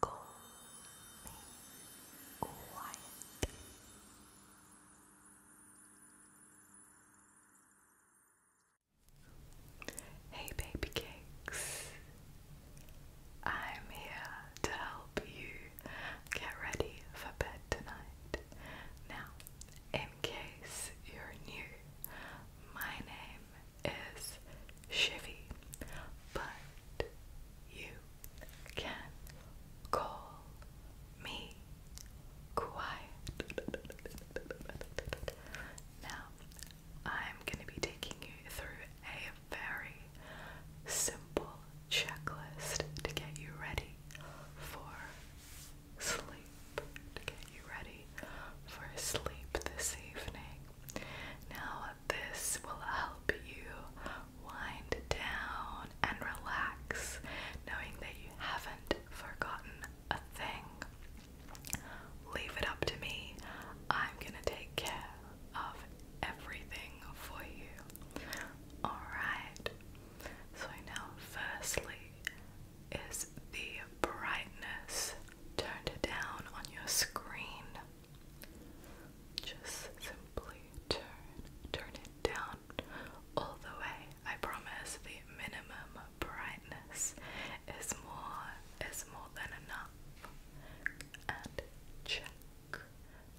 Call me Hey, baby cakes. I'm here to help you get ready for bed tonight. Now, in case you're new, my name is Chevy, but you can call me quiet. Now, I'm going to be taking you through a very simple checklist to get you ready for sleep. To get you ready for sleep this evening. Now, this will help you wind down and relax, knowing that you haven't forgotten a thing. Leave it up to me. I'm gonna take care of everything for you. Alright, so now, firstly, is the brightness turned down on your screen? Just simply turn, turn it down all the way. I promise the minimum brightness is more is more than enough. And check.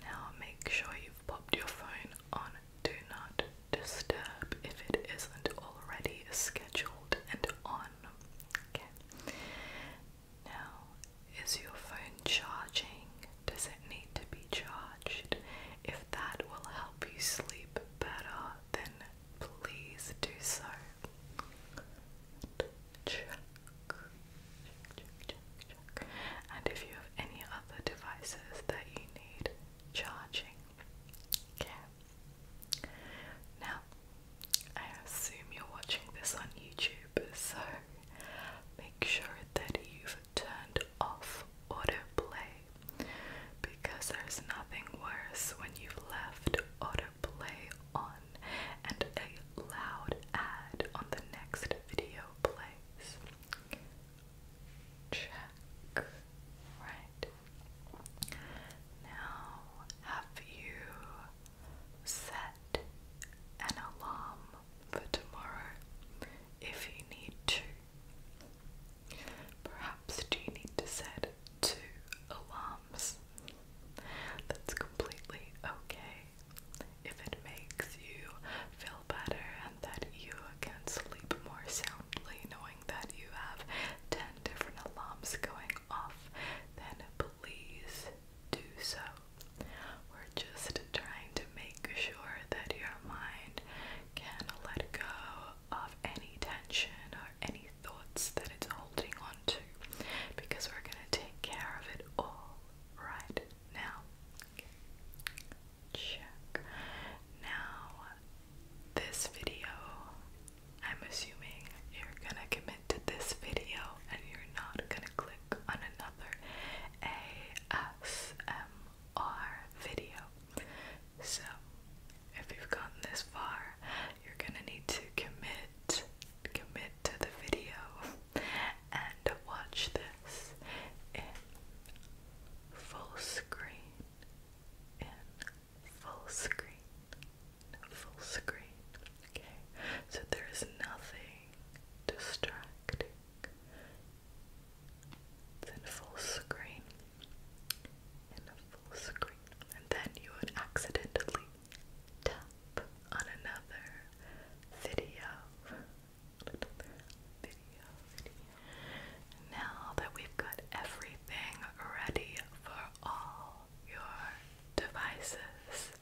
Now make sure you've popped your phone on do not disturb if it isn't already scheduled and on. Okay. Now, is your phone charging? Does it need to be charged? If that will help you sleep better, then please do so. And if you have any other devices that you need charging, okay. Now, I assume you're watching this on YouTube, so make sure that you've turned off autoplay because there's nothing worse when you've left autoplay on and a loud ad on the next video plays. Check. Right. Now, have you set an alarm for tomorrow if you need to. Perhaps do you need to set two alarms? That's completely okay if it makes you feel better and that you can sleep more soundly knowing that you have 10 different alarms going off, then please do so. We're just trying to make sure that your mind can let go of any tension or any thoughts that it's holding on to because we're going to take care of it all right now. Check. Now, this video, I'm assuming you're going to commit to this video and you're not gonna click on another ASMR video. So, if you've gotten this far, you're gonna need to commit, commit to the video, and watch this in full screen, in full screen, full screen. Okay, so there is nothing distracting. It's in full screen. In full screen. And then you would accidentally tap on another video. video, video. Now that we've got everything ready for all your devices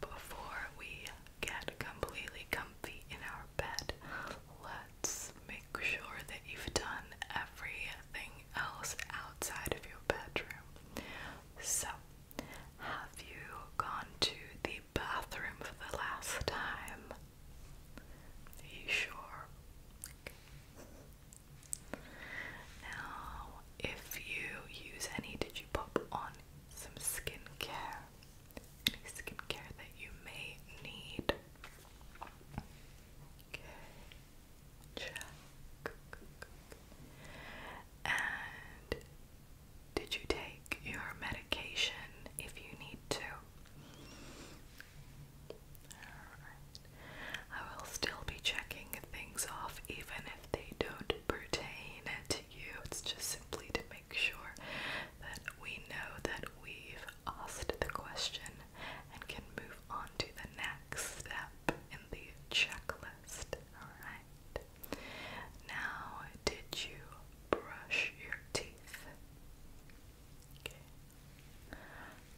before we get completely comfy in our bed. Let's make sure that you've done everything else outside of your bedroom. So, have you gone to the bathroom for the last time? Are you sure? Now, if you use any, did you pop on some skincare? Any skincare that you may need? Okay, check. And did you take your medication if you need to? I will still be checking things off even they don't pertain to you. It's just simply to make sure that we know that we've asked the question and can move on to the next step in the checklist. Alright. Now, did you brush your teeth?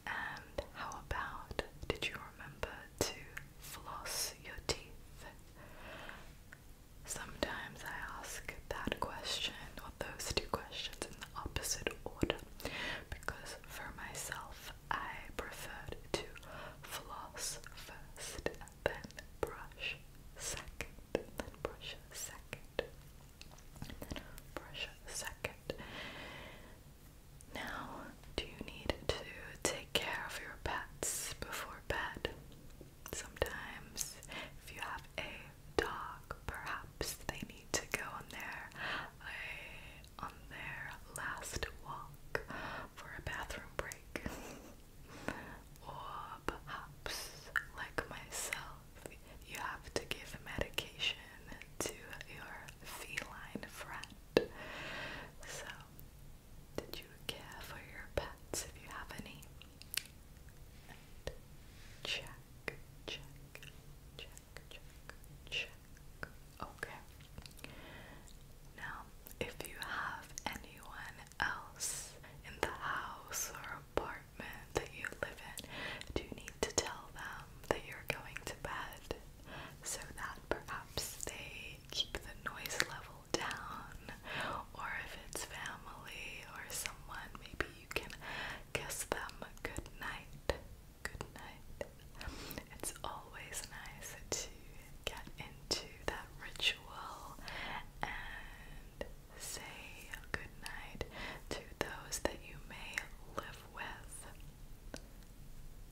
And how about did you remember to floss your teeth. Sometimes I ask that question or those two questions in the opposite order because for myself I prefer to floss first and then brush second, then brush second, brush second. Now, do you need to take care of your pets before bed? Sometimes, if you have a dog, perhaps they need to go on their uh, on their last walk for a bathroom break, or perhaps, like myself, you have to give medication to your feline friend. So did you care for your pets if you have any? check, check, check, check, check. Okay. Now, if you have anyone else in the house or apartment that you live in, do you need to tell them that you're going to bed so that perhaps they keep the noise level down, or if it's family or someone, maybe you can kiss them good night. Good night. It's always nice to get into that ritual and say good night to those that you may live with.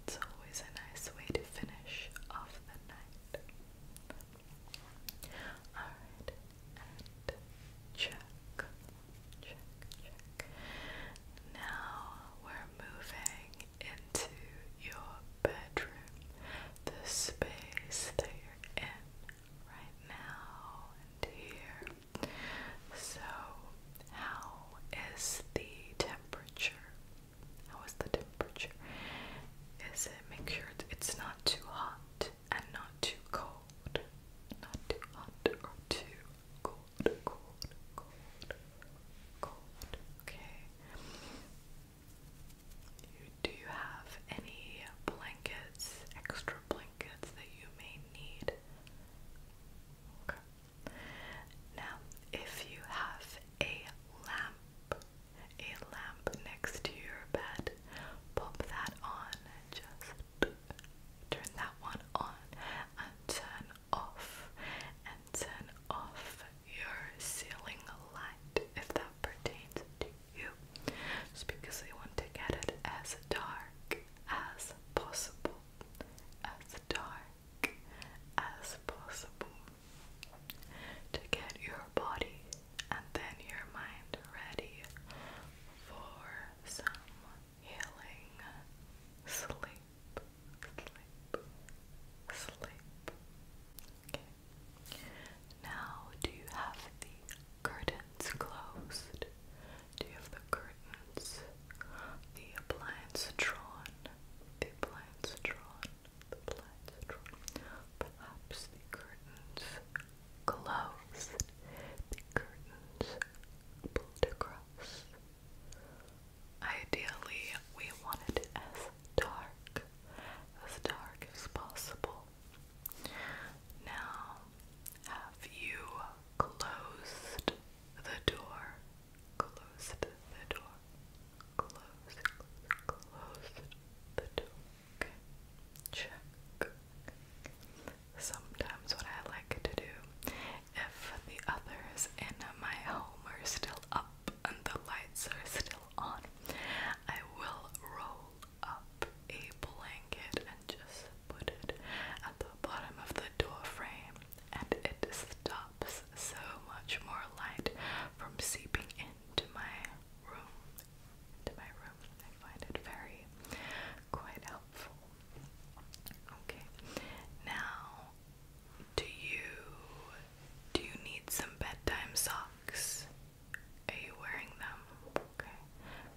It's always a nice way to finish off the night. Alright, check, check, check. Now we're moving into your bedroom, the space that you're in right now and here. So, how is the temperature how is the temperature? Is it make sure it's not too hot and not too cold? Not too hot or too cold, cold, cold, cold. Okay. do you have any blankets, extra blankets that you may need? Okay. Now, if you have a lamp, a lamp next to your bed. Pop that on. Just turn that one on and turn off and turn off your ceiling light if that pertains to you. Just because we want to get it as dark as possible. As dark as possible to get your body and then your mind ready for some healing sleep, sleep, sleep. Now, do you have the curtains closed? Do you have the curtains? The appliance drawn. The appliance drawn. The blinds Perhaps the curtains closed. The curtains pulled across. Ideally, we wanted as dark, as dark as possible. Now, have you closed the door? Close the, door. Close, close, close the door. Check. Sometimes what I like to do, if the others in my home are still up and the lights are still on, I will roll up a blanket and just put it at the bottom of the door frame and it stops so much more light from seeping into my room. Into my room. I find it very quite helpful. Okay. Now do you do you need some bedtime socks? Are you wearing them? Okay.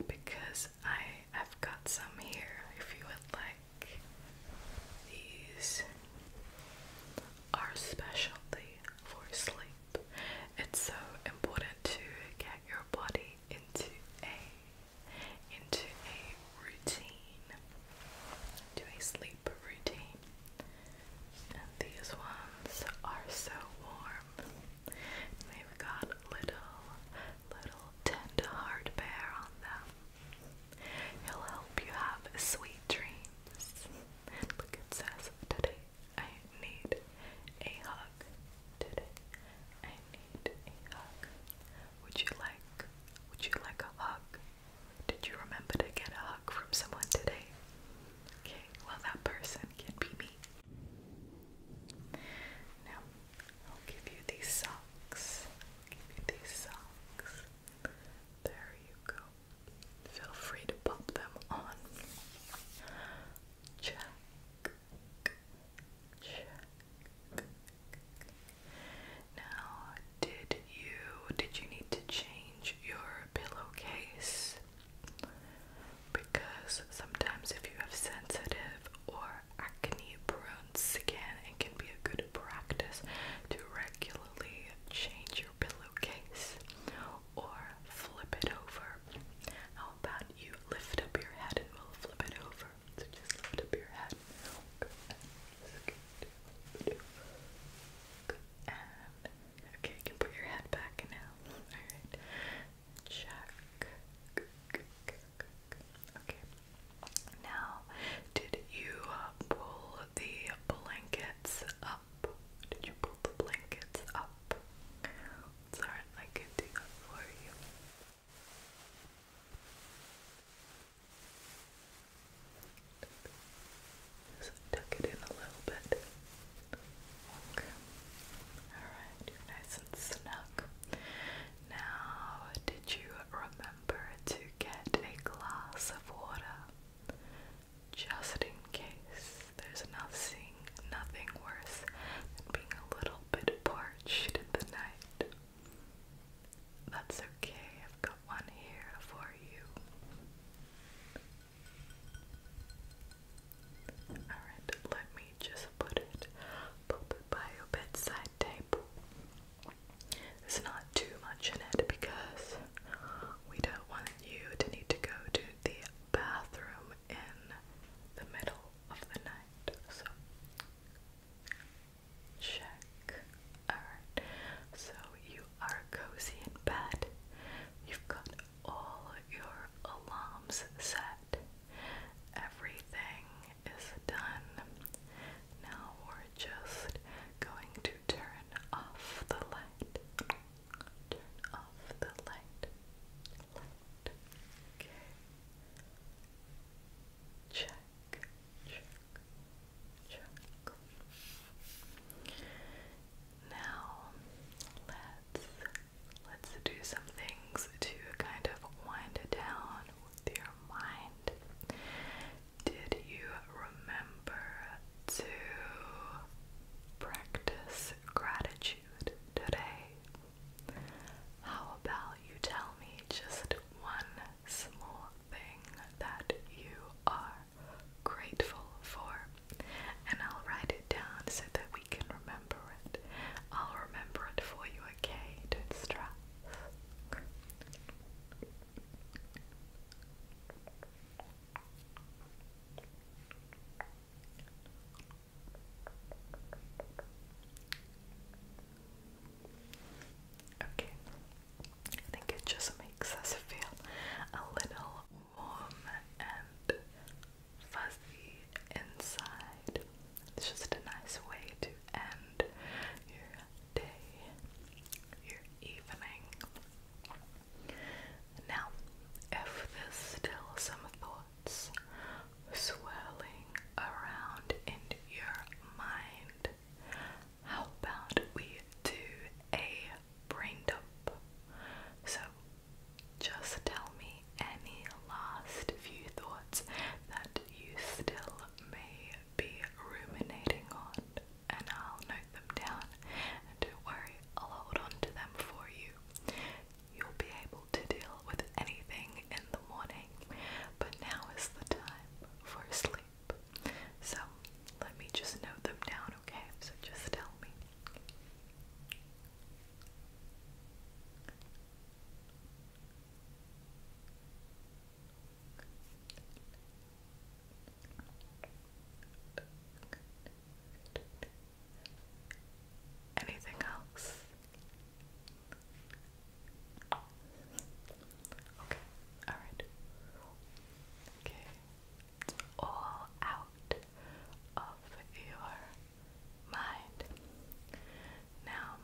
Because I have got some here if you would like these our specialty for sleep. It's so important to get your body into a into a routine. To a sleep routine. And these ones are so warm. They've got little little tender hard bear on them. He'll help you have sweet dreams. Look, it says, Today I need a hug. Today I need a hug. Would you like, would you like a hug? Did you remember to get a hug from someone today? Okay, well, that person can be me. Now, I'll give you these socks. give you these socks. There you go. Feel free to pop them on. Check. Check. Now, did you did you need to change your pillowcase? Because sometimes if you have sensitive or acne prone skin, it can be a good practice to regularly change your pillowcase or flip it over? How about you lift up your head and we'll flip it over? So just lift up your head. okay, can put your head back now. Alright. Check. Okay. Now, did you pull the blankets did you pull the blankets up? It's I can do that for you. Just tuck it in a little bit. Okay. Alright, nice and snug. Now, did you remember to get a glass of water? just in case. There's nothing, nothing worse than being a little bit parched in the night. That's okay, I've got one here for you. Alright, let me just put it, pop it by your bedside table. There's not too much in it because we don't want you to need to go to the bathroom in the middle of the night. So check. Alright. So you are cozy in bed. You've got all your alarms set. Everything is done. Now we're just going to turn Turn off the light. Turn off the light. Light. Okay. Check. Check. Check. Now let's let's do some things to kind of wind down your mind. Did you remember to practice gratitude today? How about you tell me just one small thing that you are grateful for? And I'll write it down so that we can remember it. I'll remember it for you, okay? do Okay, I think it just makes us feel a little warm and fuzzy inside. It's just a nice way to end your day, your evening. Now, if there's still some thoughts swirling around in your mind, how about we do a brain dump? So, just tell me any last few thoughts that you still may be ruminating on and I'll note them down. And don't worry, I'll hold on to them for you. You'll be able to deal with anything in the morning, but now is the time for sleep. So let me just note them down, okay? So just tell me. Anything else? Okay, alright. Okay, all out of your mind. Now,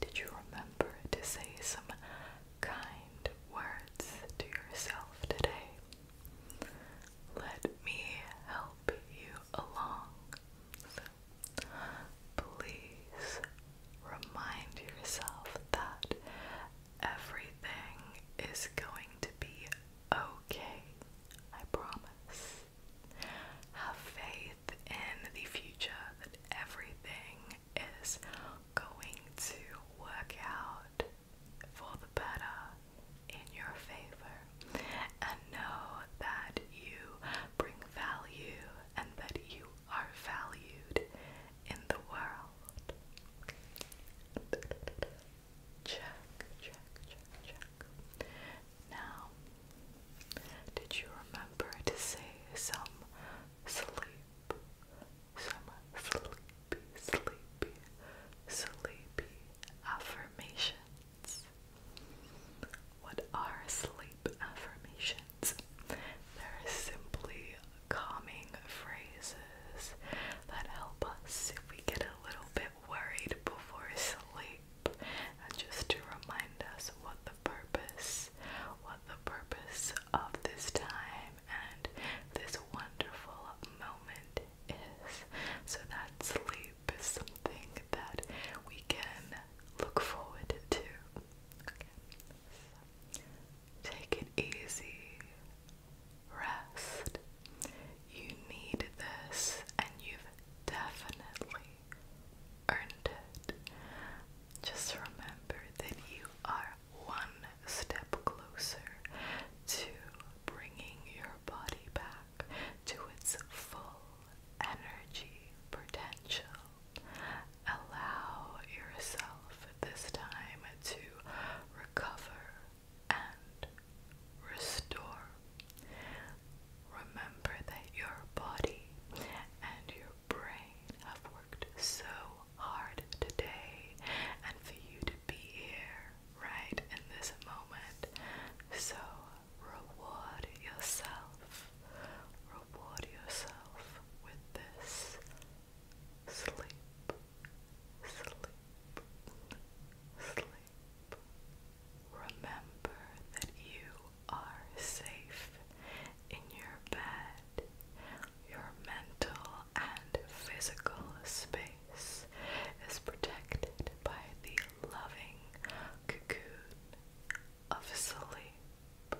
did you remember to say some kind words to yourself today? Let me help you along. please remind yourself that everything is going to be okay. I promise. Have faith in the future that everything is going to work out for the better in your favor and know that you bring value and that you are valued in the world. Check, check, check, check. Now, did you remember to say some sleep, some sleepy, sleepy, sleepy affirmations. What are sleep affirmations? They're simply calming phrases that help us if we get a little bit worried before sleep and just to remind us what the purpose what the purpose of this time and this wonderful moment is. So that sleep is something that we can look forward to. take it easy. Rest. You need this and you've definitely earned it. Just remember that you are one step closer to bringing your body back to its full energy potential. Allow yourself this time to recover and restore. Remember that your body and your brain have worked so hard today, and for you to be here right in this moment. So reward yourself. Reward yourself with this sleep, sleep, sleep. Remember that you are safe in your bed. Your mental and physical space is protected by the loving cocoon of sleep.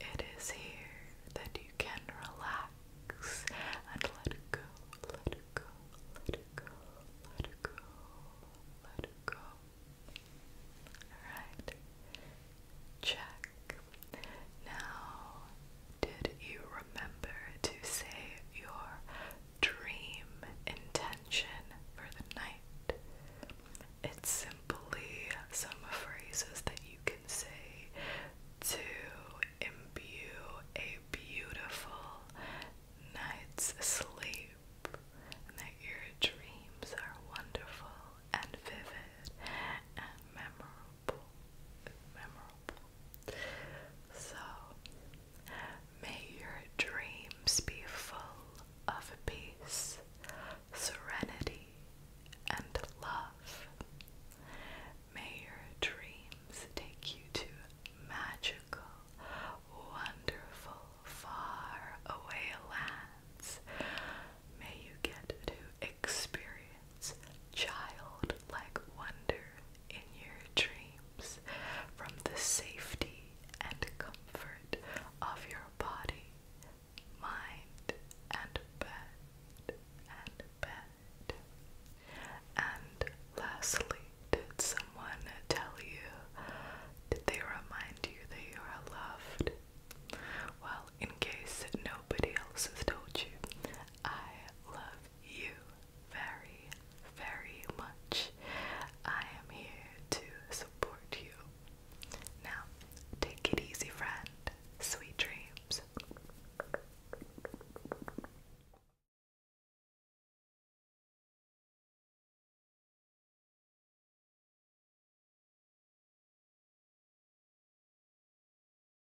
It is here that you can relax and let go, let go, let go, let go, let go. Alright, check. Now, did you remember to say your dream intention for the night? It's simply some phrases that you can say to imbue a beautiful night's sleep and that your dreams are wonderful and vivid and memorable. So, may your dreams be full of peace, serenity, and love. May your dreams take you to magical, wonderful, far away lands. May you get to experience experience childlike wonder in your dreams from the safety and comfort of your body, mind, and bed, and bed. And lastly, did someone tell you? Did they remind you that you are loved? Well, in case nobody else has told you, I love you very, very much. I am here to support you. Now, take it easy, friend. Sweet dreams.